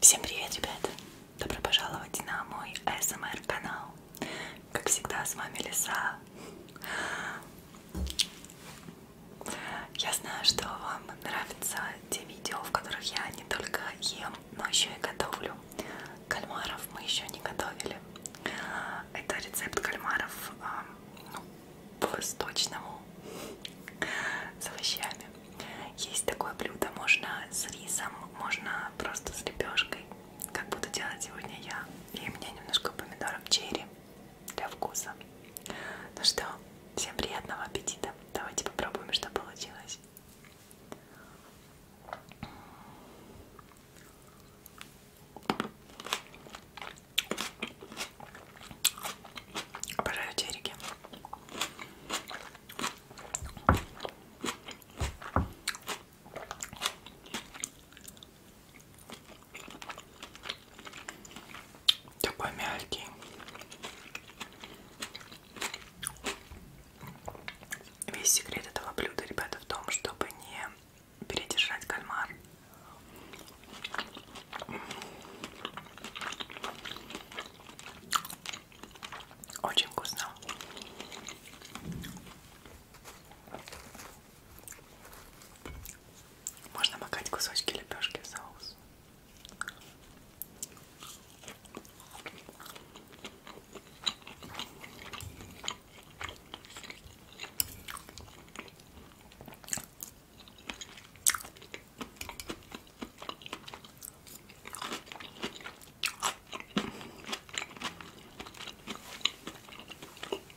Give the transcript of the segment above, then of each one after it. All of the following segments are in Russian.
Всем привет, ребята! Добро пожаловать на мой СМР канал. Как всегда, с вами Лиса. Я знаю, что вам нравятся те видео, в которых я не только ем, но еще и готовлю. Кальмаров мы еще не готовили. Это рецепт кальмаров а, ну, по-восточному с овощами. Есть такое блюдо, можно с рисом, можно просто с лепешкой, как буду делать сегодня я. И у меня немножко помидоров черри для вкуса. Ну что, всем приятного аппетита. Давайте попробуем, что получилось. Обожаю черики. Такой мягкий. Весь секрет этого блюда, ребята, в том, чтобы не передержать кальмар. Очень вкусно. Можно макать кусочки лепешки в соус.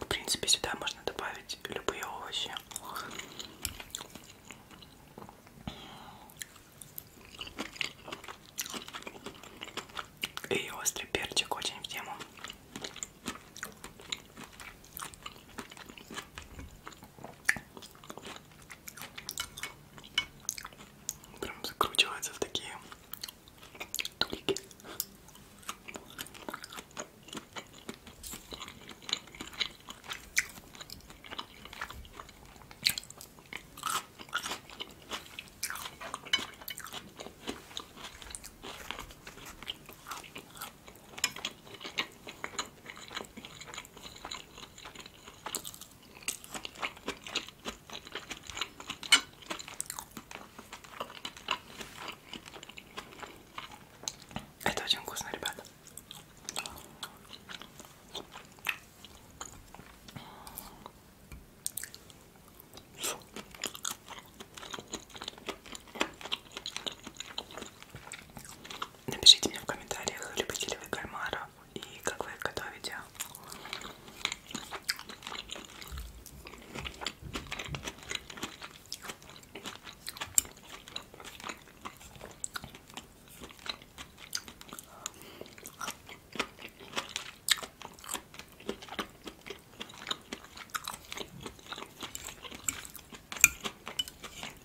В принципе, сюда можно добавить любые овощи. И острый перчик очень в тему прям закручивается в такие тулики. Это очень вкусно, ребята. Напишите мне в комментариях, любите ли вы кальмара, и как вы их готовите.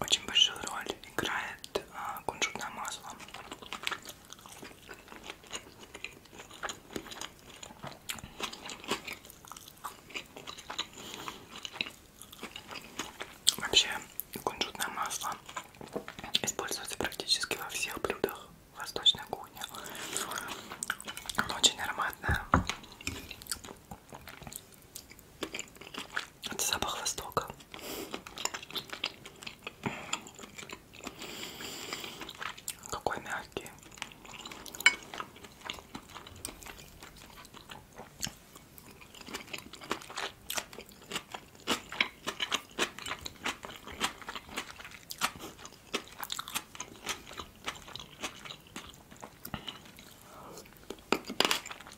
Очень большую роль играет а, кунжутное масло. Вообще кунжутное масло используется практически во всех блюдах восточной кухни. Оно очень ароматное. Это запах Востока. Какой мягкий.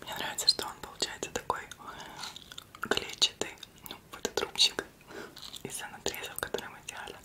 Мне нравится, что он получается такой э, клетчатый, ну, вот этот рубчик из-за надрезов, которые мы делали.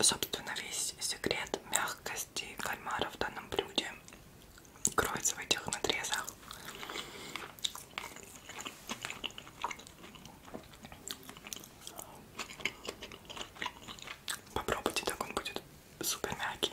Собственно, весь секрет мягкости кальмара в данном блюде кроется в этих надрезах. Попробуйте, так он будет супер мягкий.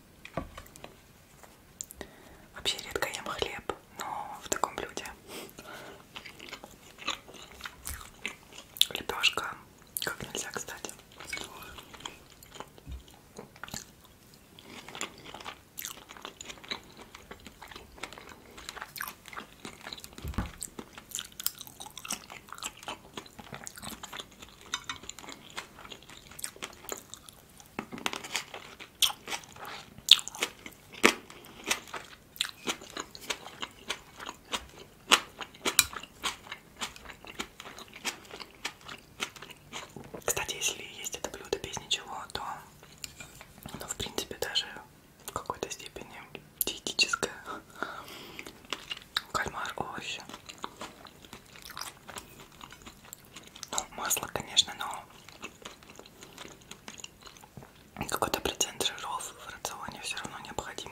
Вообще редко ем хлеб, но в таком блюде. Лепешка как нельзя, кстати. Кстати, если есть это блюдо без ничего, то оно, в принципе, даже в какой-то степени диетическое. Кальмар овощи. Ну, масло, конечно, но какой-то процент жиров в рационе все равно необходим.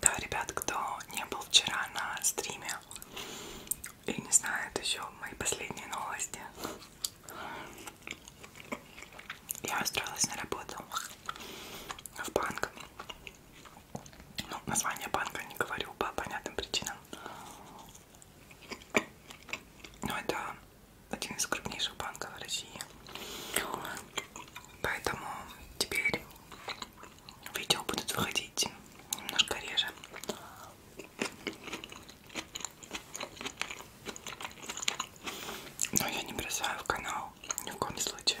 Да, ребят, кто не был вчера на стриме и не знает еще мои последние новости. Я устроилась на работу в банк. Ну, название банка не говорю по понятным причинам. Но ну, это один из крупнейших банков России. Поэтому теперь видео будут выходить немножко реже. Но я не бросаю в канал ни в коем случае.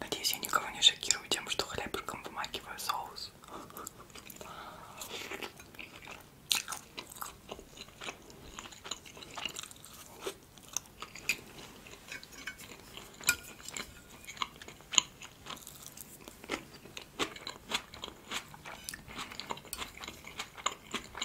Надеюсь, я никого не шокирую тем, что хлебушком вымакиваю соус.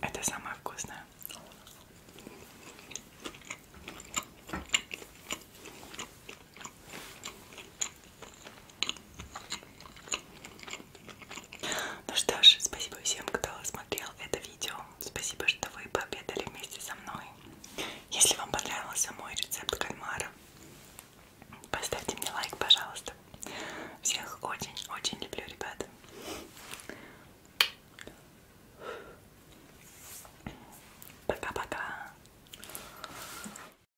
Это самое вкусное. Ну что ж, спасибо всем, кто смотрел это видео. Спасибо, что вы пообедали вместе со мной. Если вам понравился мой рецепт кальмара, поставьте мне лайк, пожалуйста. Всех очень-очень люблю, ребята. Пока-пока.